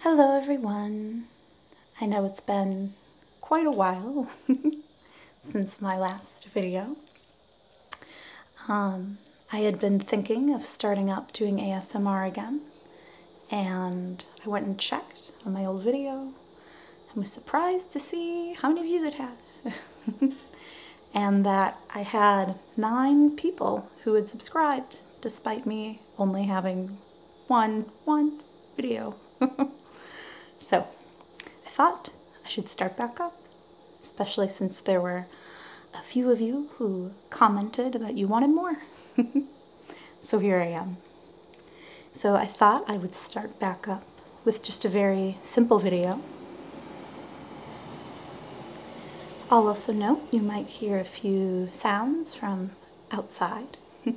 Hello, everyone. I know it's been quite a while since my last video. Um, I had been thinking of starting up doing ASMR again, and I went and checked on my old video I was surprised to see how many views it had. and that I had nine people who had subscribed despite me only having one one video. so I thought I should start back up, especially since there were a few of you who commented that you wanted more. so here I am. So I thought I would start back up with just a very simple video I'll also note you might hear a few sounds from outside.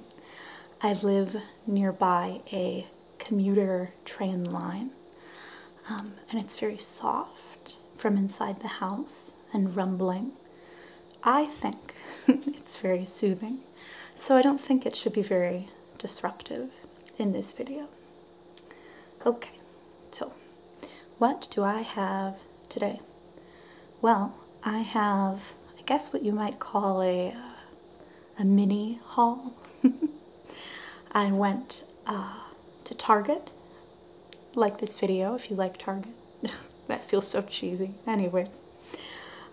I live nearby a commuter train line, um, and it's very soft from inside the house and rumbling. I think it's very soothing, so I don't think it should be very disruptive in this video. Okay, so what do I have today? Well, I have, I guess, what you might call a uh, a mini haul. I went uh, to Target. Like this video if you like Target. that feels so cheesy. Anyways,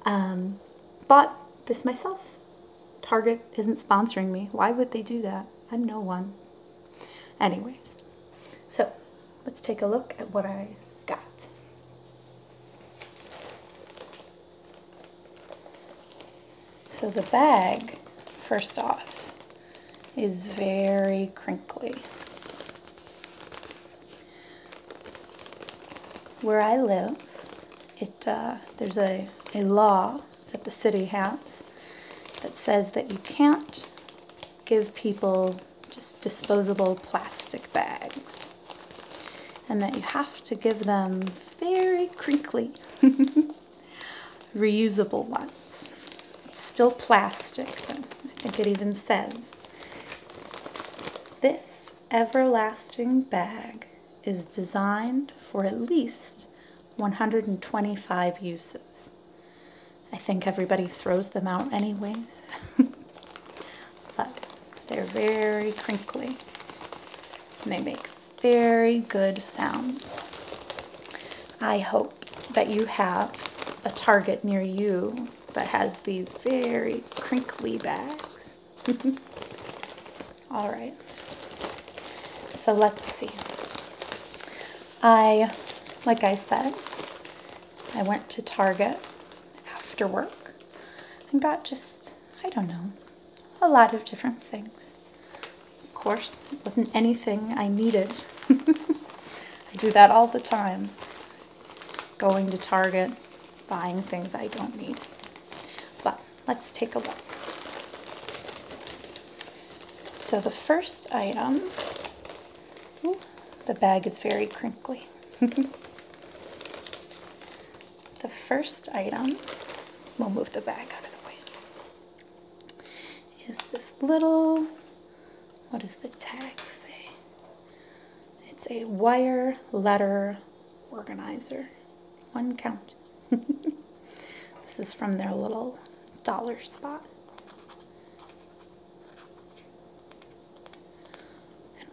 um, bought this myself. Target isn't sponsoring me. Why would they do that? I'm no one. Anyways, so let's take a look at what I got. So the bag, first off, is very crinkly. Where I live, it uh, there's a, a law that the city has that says that you can't give people just disposable plastic bags and that you have to give them very crinkly reusable ones. It's still plastic, I think it even says this everlasting bag is designed for at least 125 uses. I think everybody throws them out anyways. but they're very crinkly. And they make very good sounds. I hope that you have a Target near you that has these very crinkly bags. All right. So let's see. I, like I said, I went to Target after work and got just, I don't know, a lot of different things. Of course, it wasn't anything I needed. I do that all the time. Going to Target, buying things I don't need. But let's take a look. So the first item, the bag is very crinkly. the first item, we'll move the bag out of the way, is this little, what does the tag say? It's a wire letter organizer. One count. this is from their little dollar spot.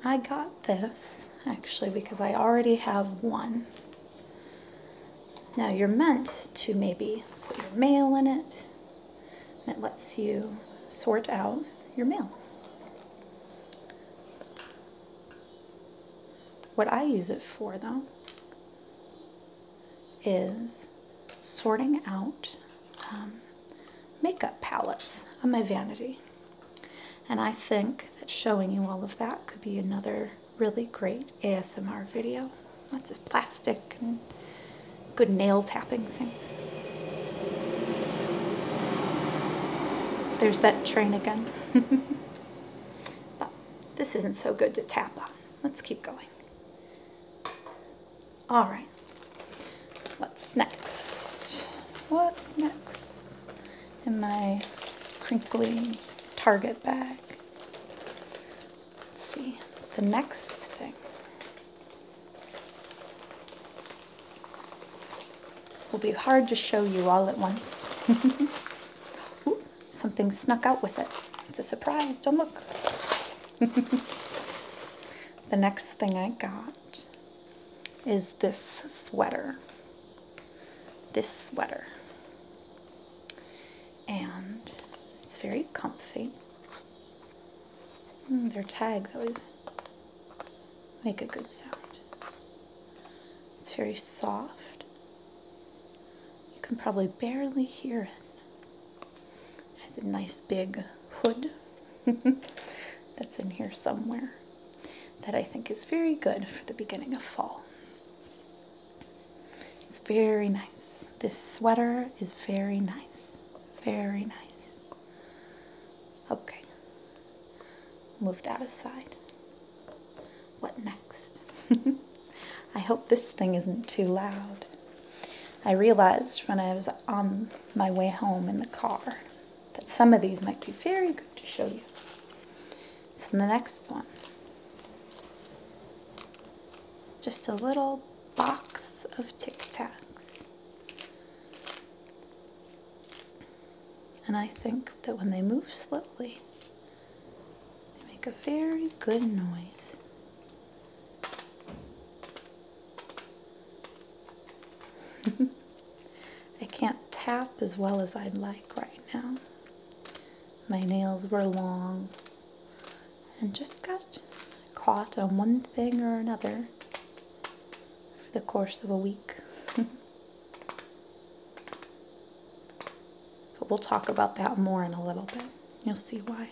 I got this actually because I already have one. Now you're meant to maybe put your mail in it. and It lets you sort out your mail. What I use it for though is sorting out um, makeup palettes on my vanity. And I think that showing you all of that could be another really great ASMR video. Lots of plastic and good nail tapping things. There's that train again. but this isn't so good to tap on. Let's keep going. All right. What's next? What's next in my crinkly Target bag? Let's see. The next thing. will be hard to show you all at once. Something snuck out with it. It's a surprise. Don't look. the next thing I got is this sweater. This sweater. And it's very comfy. Mm, their tags always make a good sound. It's very soft. You can probably barely hear it. has a nice big hood that's in here somewhere that I think is very good for the beginning of fall. It's very nice. This sweater is very nice. Very nice. Okay. Move that aside. What next? I hope this thing isn't too loud. I realized when I was on my way home in the car that some of these might be very good to show you. So the next one. It's just a little box of Tic Tacs. And I think that when they move slowly, they make a very good noise. I can't tap as well as I'd like right now. My nails were long and just got caught on one thing or another for the course of a week. But we'll talk about that more in a little bit. You'll see why.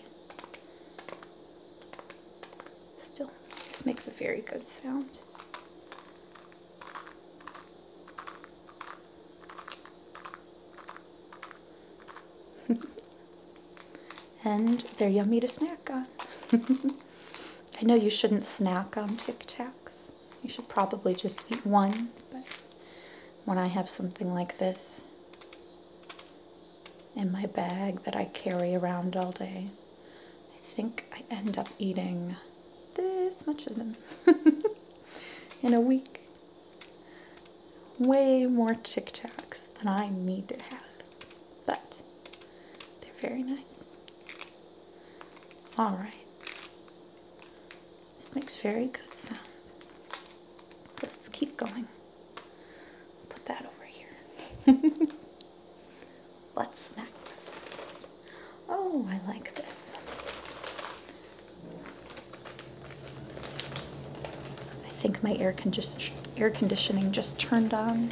Still, this makes a very good sound. and they're yummy to snack on. I know you shouldn't snack on Tic Tacs. You should probably just eat one, but when I have something like this in my bag that I carry around all day. I think I end up eating this much of them in a week. Way more Tic Tacs than I need to have, but they're very nice. All right. This makes very good sounds. Let's keep going. Put that over here. What's next? Oh, I like this. I think my air, con air conditioning just turned on.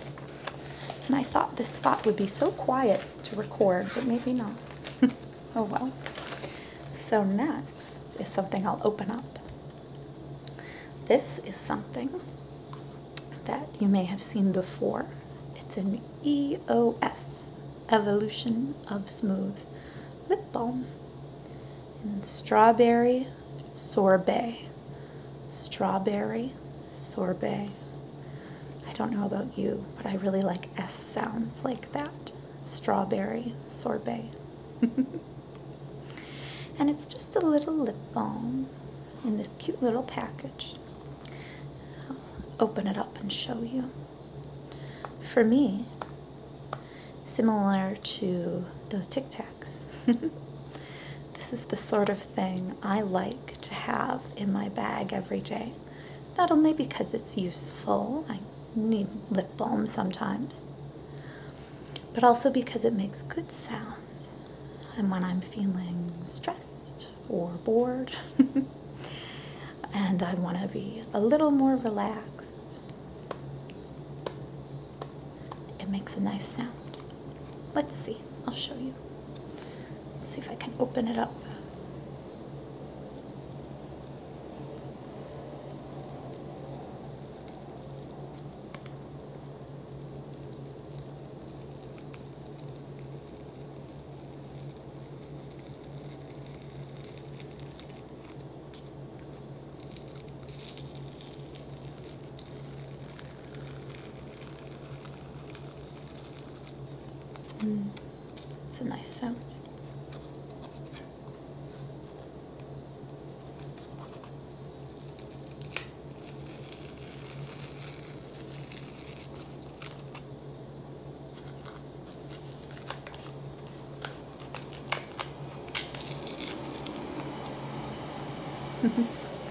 And I thought this spot would be so quiet to record, but maybe not. Oh well. So next is something I'll open up. This is something that you may have seen before. It's an EOS Evolution of Smooth Lip Balm in Strawberry Sorbet. Strawberry Sorbet. I don't know about you, but I really like S sounds like that strawberry sorbet. and it's just a little lip balm in this cute little package. I'll open it up and show you. For me, similar to those Tic Tacs. this is the sort of thing I like to have in my bag every day. Not only because it's useful, need lip balm sometimes, but also because it makes good sounds. And when I'm feeling stressed or bored, and I want to be a little more relaxed, it makes a nice sound. Let's see, I'll show you. see if I can open it up. Mm. It's a nice sound.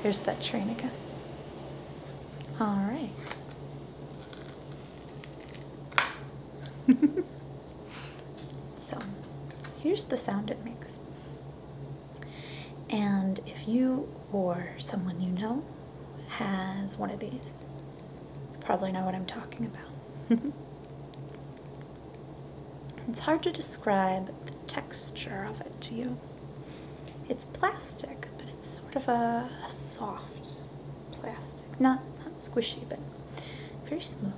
There's that train again. All right. so here's the sound it makes. And if you or someone you know has one of these, probably know what I'm talking about. it's hard to describe the texture of it to you. It's plastic, but it's sort of a, a soft plastic. Not not squishy, but very smooth.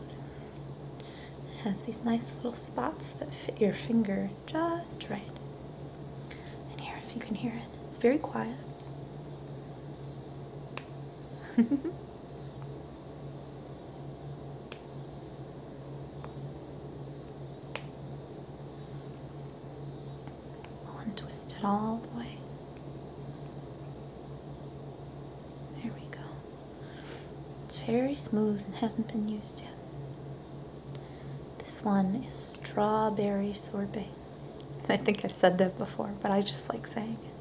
has these nice little spots that fit your finger just right. And here, if you can hear it, it's very quiet. I'll untwist it all the way. There we go. It's very smooth and hasn't been used yet. This one is strawberry sorbet. I think I said that before, but I just like saying it.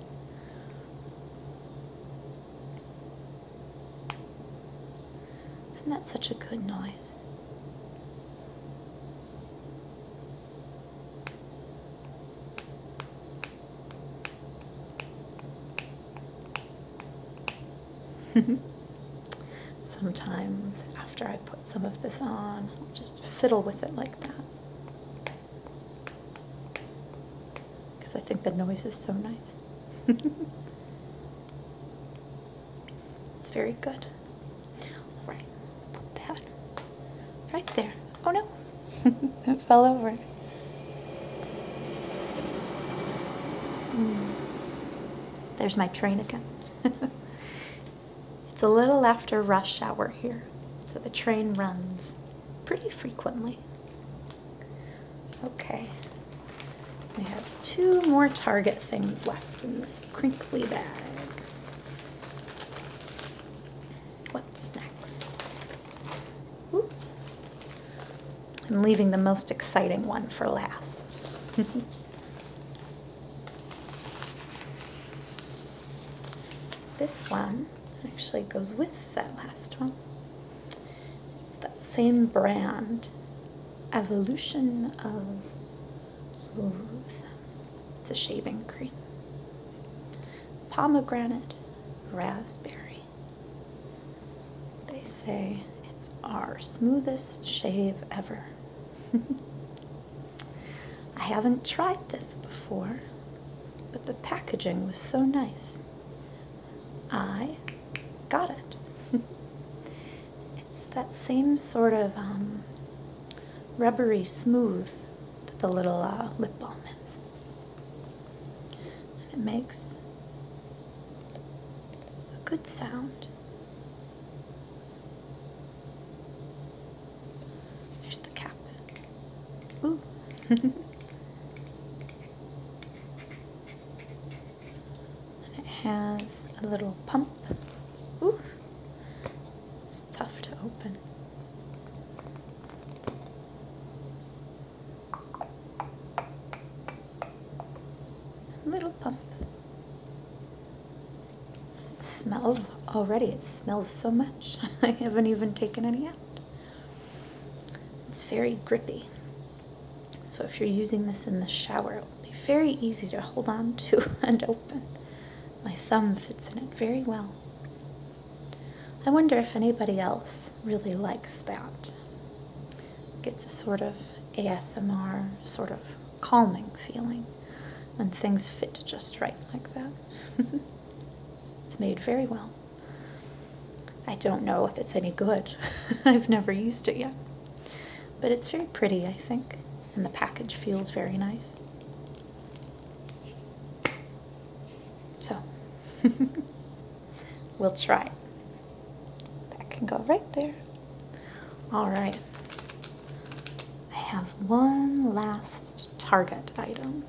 Isn't that such a good noise? Sometimes after I put some of this on, I'll just fiddle with it like that. Because I think the noise is so nice. it's very good. Right, put that right there. Oh no, it fell over. Hmm. There's my train again. it's a little after rush hour here, so the train runs pretty frequently. Okay, we have two more Target things left in this crinkly bag. What's next? I'm leaving the most exciting one for last. this one actually goes with that last one. It's that same brand, Evolution of Zworuth. It's a shaving cream. Pomegranate, raspberry. They say it's our smoothest shave ever. I haven't tried this before, but the packaging was so nice. I got it. it's that same sort of um, rubbery smooth that the little uh, lip balm is. And it makes a good sound. There's the cap. Ooh. and it has a little pump. Ooh. It's tough to open. Little pump. It smells already. It smells so much. I haven't even taken any out. It's very grippy. So if you're using this in the shower, it will be very easy to hold on to and open. My thumb fits in it very well. I wonder if anybody else really likes that. Gets a sort of ASMR, sort of calming feeling when things fit just right like that. it's made very well. I don't know if it's any good. I've never used it yet. But it's very pretty, I think, and the package feels very nice. So, we'll try. That can go right there. All right. I have one last target item.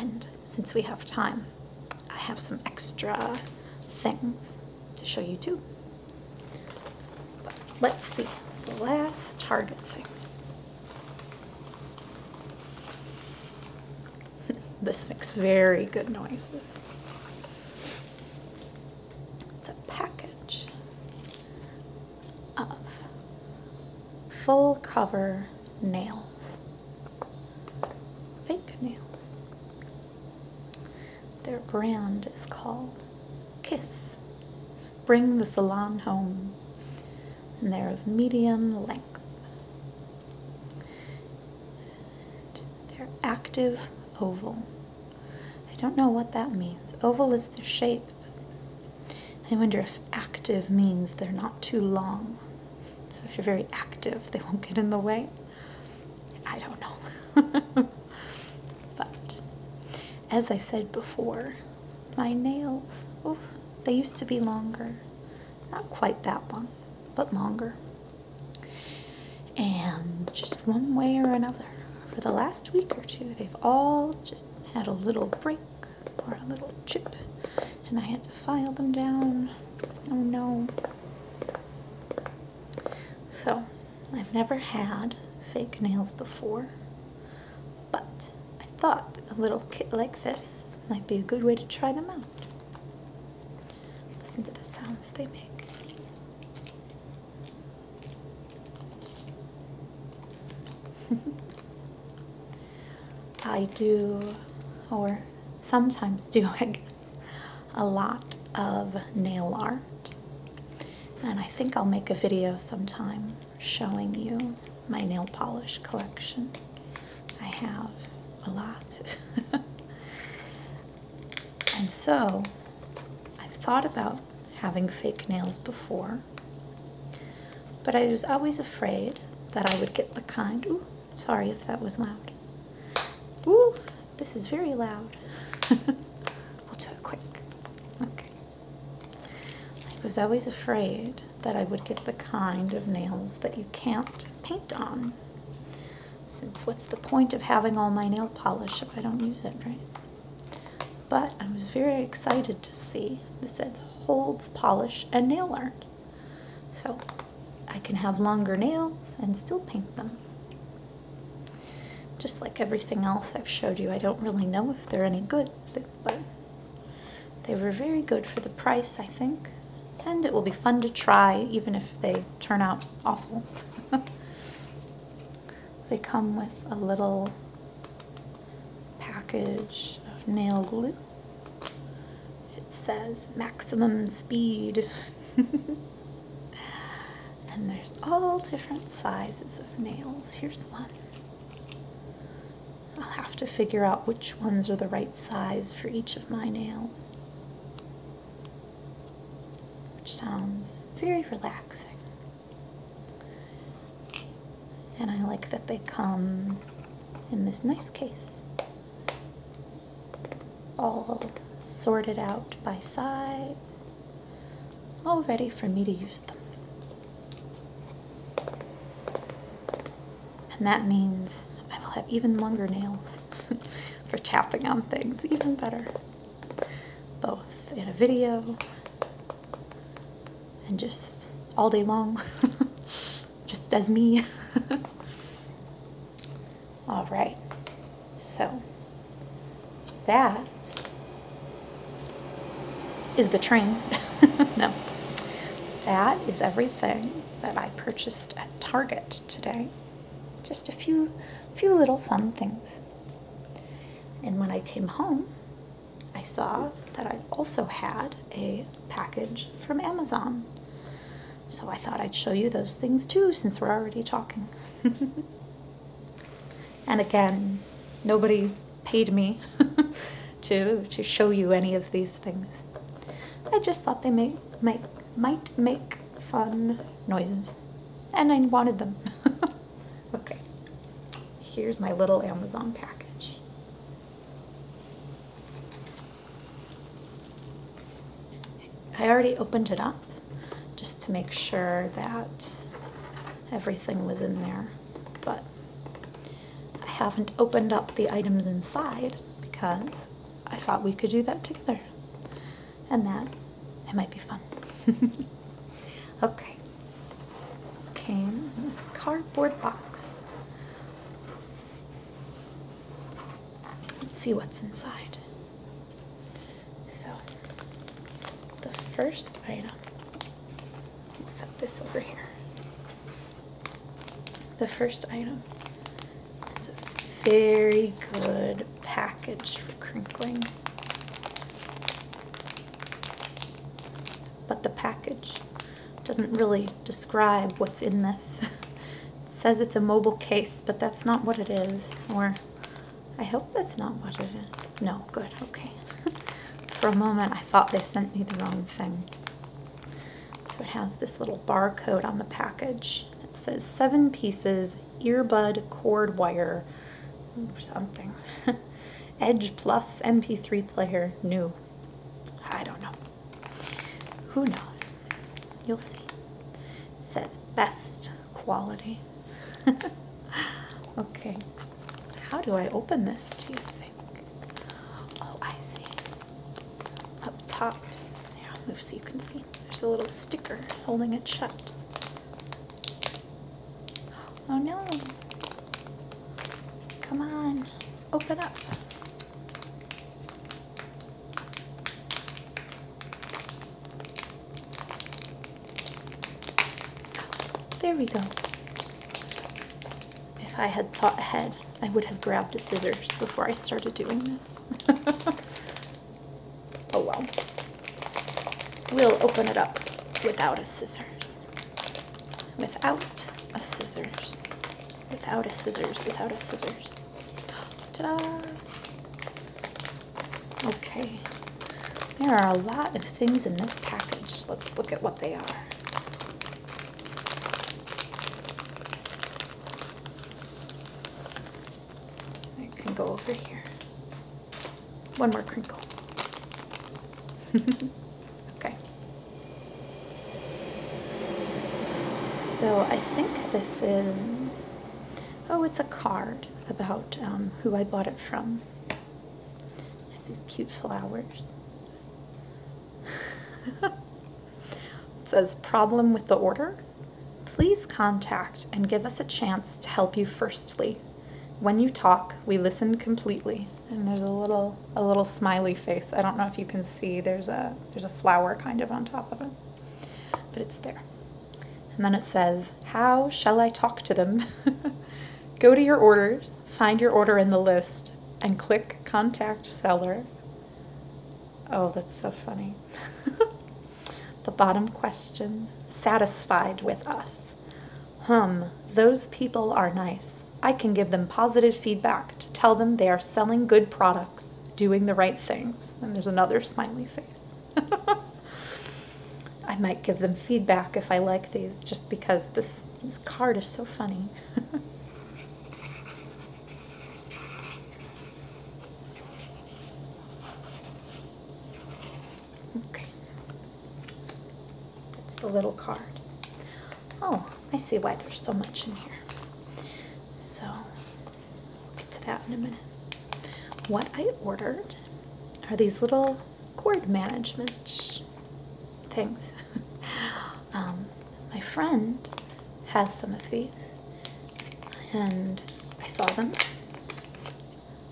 And since we have time, I have some extra things to show you too. Let's see, the last Target thing. this makes very good noises. It's a package of full cover nails, fake nails. Their brand is called Kiss Bring the salon home. And they're of medium length. they're active oval. I don't know what that means. Oval is their shape. I wonder if active means they're not too long. So if you're very active, they won't get in the way. I don't know. but as I said before, my nails, oof, they used to be longer. Not quite that long, but longer. And just one way or another, for the last week or two, they've all just had a little break or a little chip, and I had to file them down. Oh no. So, I've never had fake nails before. But I thought a little kit like this might be a good way to try them out. Listen to the sounds they make. I do, or sometimes do, I guess, a lot of nail art. And I think I'll make a video sometime showing you my nail polish collection. I have a lot. and so I've thought about having fake nails before, but I was always afraid that I would get the kind. Ooh, sorry if that was loud. Ooh, this is very loud. we'll do it quick. Okay. I was always afraid that I would get the kind of nails that you can't paint on. Since what's the point of having all my nail polish if I don't use it, right? But I was very excited to see this says holds polish and nail art. So I can have longer nails and still paint them. Just like everything else I've showed you, I don't really know if they're any good, but they were very good for the price, I think. And it will be fun to try, even if they turn out awful. they come with a little package of nail glue. It says maximum speed. and there's all different sizes of nails. Here's one. I'll have to figure out which ones are the right size for each of my nails, which sounds very relaxing. And I like that they come in this nice case, all sorted out by size all ready for me to use them. And that means I will have even longer nails for tapping on things, even better. Both in a video and just all day long, just as me. all right, so. That is the train. no. That is everything that I purchased at Target today. Just a few, few little fun things. And when I came home, I saw that I also had a package from Amazon. So I thought I'd show you those things too since we're already talking. And again, nobody paid me to to show you any of these things. I just thought they may might might make fun noises, and I wanted them. okay, here's my little Amazon package. I already opened it up, just to make sure that everything was in there. But I haven't opened up the items inside because I thought we could do that together. And that, it might be fun. okay. Came this cardboard box. Let's see what's inside. So the first item, I'll set this over here. The first item is a very good package for crinkling. But the package doesn't really describe what's in this. says it's a mobile case, but that's not what it is. Or I hope that's not what it is. No, good, okay. For a moment, I thought they sent me the wrong thing. So it has this little barcode on the package. It says seven pieces, earbud, cord wire, or something. Edge Plus MP3 player, new. I don't know. Who knows? You'll see. It says best quality. okay. How do I open this, do you think? Oh, I see. Up top. There, I'll move so you can see. There's a little sticker holding it shut. Oh no. Come on. Open up. There we go. If I had thought ahead, I would have grabbed a scissors before I started doing this. oh well. We'll open it up without a scissors. Without a scissors. Without a scissors. Without a scissors. ta Okay, there are a lot of things in this package. Let's look at what they are. I can go over here. One more crinkle. okay. So I think this is Oh, it's a card about um, who I bought it from. It has these cute flowers. it says, problem with the order? Please contact and give us a chance to help you firstly. When you talk, we listen completely. And there's a little a little smiley face. I don't know if you can see. There's a there's a flower kind of on top of it. But it's there. And then it says, How shall I talk to them? Go to your orders, find your order in the list, and click Contact Seller. Oh, that's so funny. the bottom question satisfied with us. Hum, those people are nice. I can give them positive feedback to tell them they are selling good products, doing the right things. And there's another smiley face. I might give them feedback if I like these just because this, this card is so funny. okay. That's the little card. Oh, I see why there's so much in here. So, get to that in a minute. What I ordered are these little cord management things. Um, my friend has some of these, and I saw them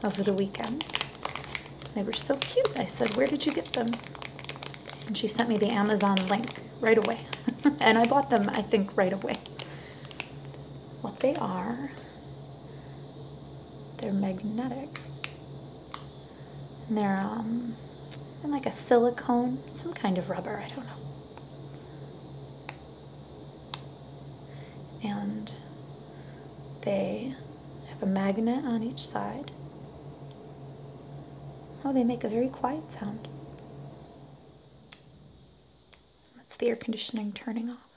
over the weekend. They were so cute. I said, Where did you get them? And she sent me the Amazon link right away. and I bought them, I think, right away. What they are they're magnetic. And they're um, and like a silicone, some kind of rubber, I don't know. And they have a magnet on each side. Oh, they make a very quiet sound. That's the air conditioning turning off.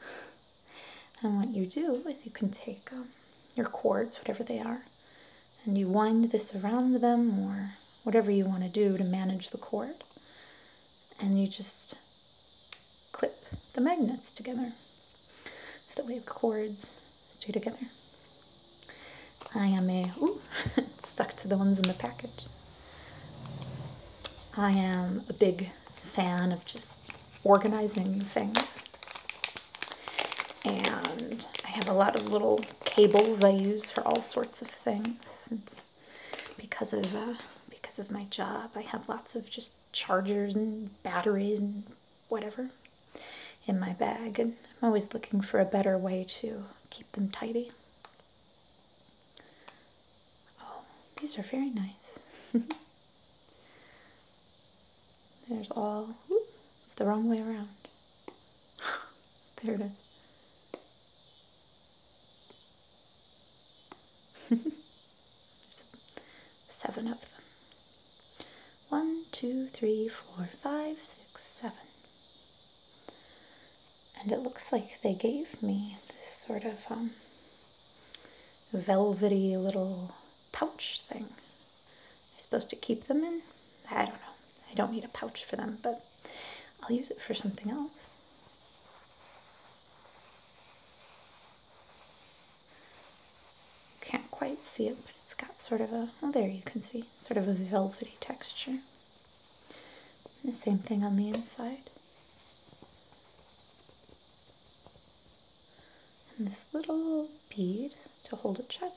And what you do is you can take um, your cords, whatever they are, and you wind this around them or whatever you want to do to manage the cord, and you just clip the magnets together so that way the cords stay together. I am a, stuck to the ones in the package. I am a big fan of just organizing things. And I have a lot of little cables I use for all sorts of things. because of uh, because of my job, I have lots of just chargers and batteries and whatever in my bag, and I'm always looking for a better way to keep them tidy. Oh, these are very nice. There's all. it's the wrong way around. there it is. seven of them. One, two, three, four, five, six, seven. And it looks like they gave me this sort of um, velvety little pouch thing. I'm supposed to keep them in. I don't know. I don't need a pouch for them, but I'll use it for something else. Can't quite see it, but it's got sort of a, oh, there you can see, sort of a velvety texture the same thing on the inside. And this little bead to hold it shut.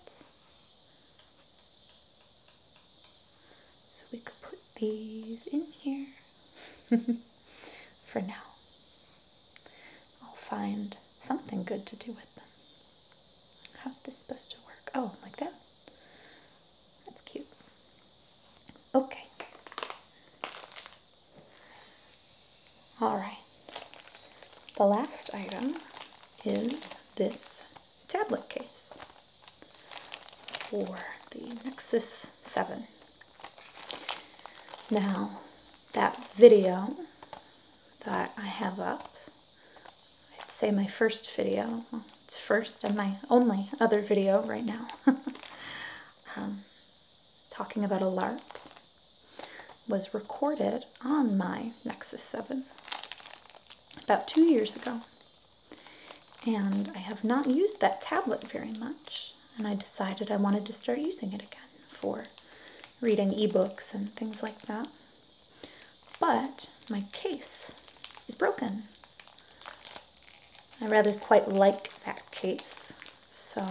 So we could put these in here for now. I'll find something good to do with them. How's this supposed to work? Oh, like that? That's cute. Okay. All right. The last item is this tablet case for the Nexus 7. Now, that video that I have up, I'd say my first video, it's first and my only other video right now. Um, talking about a LARP was recorded on my Nexus 7 about two years ago. And I have not used that tablet very much, and I decided I wanted to start using it again for reading ebooks and things like that. But my case is broken. I rather quite like that case, so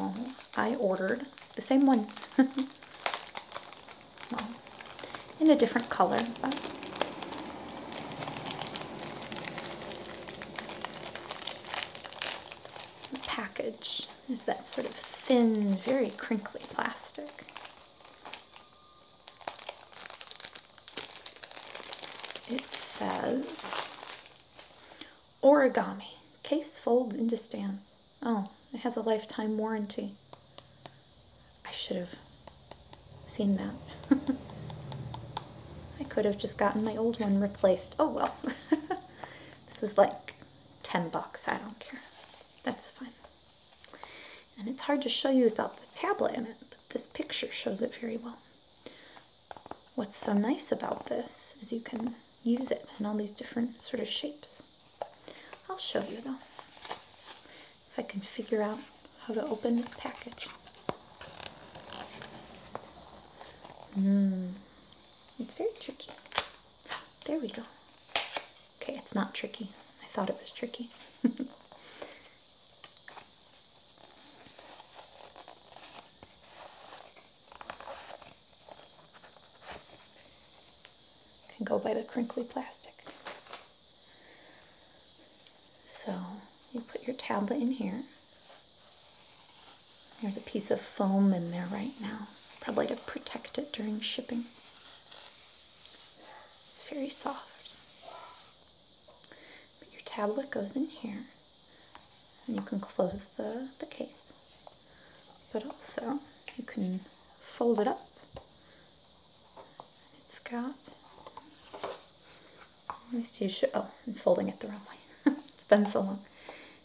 I ordered the same one. in a different color, package is that sort of thin, very crinkly plastic. It says origami. Case folds into stand. Oh, it has a lifetime warranty. I should have seen that. I could have just gotten my old one replaced. Oh well. this was like 10 bucks. I don't care. That's fine. And it's hard to show you without the tablet in it, but this picture shows it very well. What's so nice about this is you can use it in all these different sort of shapes. I'll show you though, if I can figure out how to open this package. Mmm, it's very tricky. There we go. Okay, it's not tricky. I thought it was tricky. Can go by the crinkly plastic. So you put your tablet in here. There's a piece of foam in there right now, probably to protect it during shipping. It's very soft. But your tablet goes in here, and you can close the, the case. But also, you can fold it up. It's got, at least oh, I'm folding it the wrong way. it's been so long.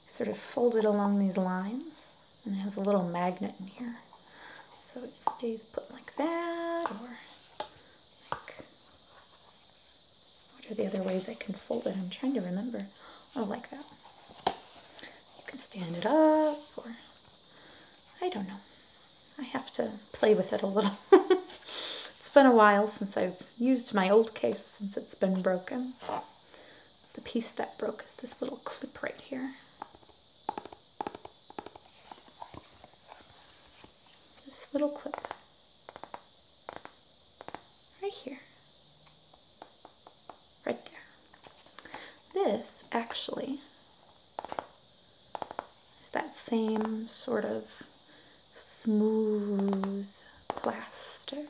sort of fold it along these lines, and it has a little magnet in here. So it stays put like that, what are the other ways I can fold it? I'm trying to remember. Oh, like that. You can stand it up, or I don't know. I have to play with it a little. it's been a while since I've used my old case, since it's been broken. The piece that broke is this little clip right here this little clip right here, right there. This actually is that same sort of smooth plastic,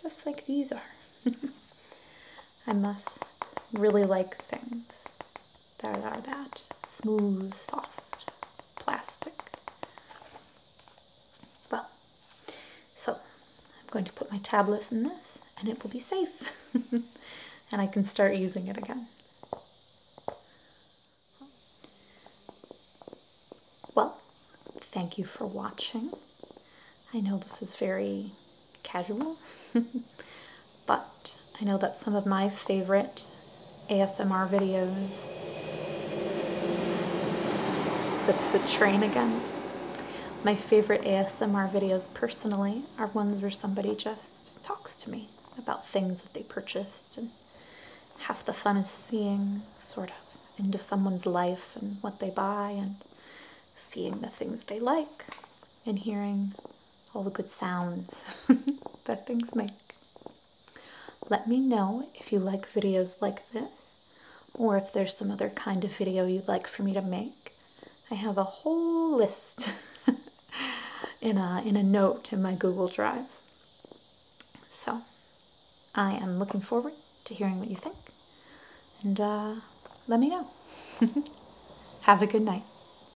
just like these are. I must really like things that are that smooth, soft plastic. Well, so I'm going to put my tablets in this and it will be safe and I can start using it again. Well, thank you for watching. I know this was very casual. but I know that some of my favorite ASMR videos. That's the train again. My favorite ASMR videos personally are ones where somebody just talks to me about things that they purchased, and half the fun is seeing sort of into someone's life and what they buy, and seeing the things they like, and hearing all the good sounds that things make. Let me know if you like videos like this or if there's some other kind of video you'd like for me to make. I have a whole list in, a, in a note in my Google Drive. So I am looking forward to hearing what you think and uh, let me know. have a good night.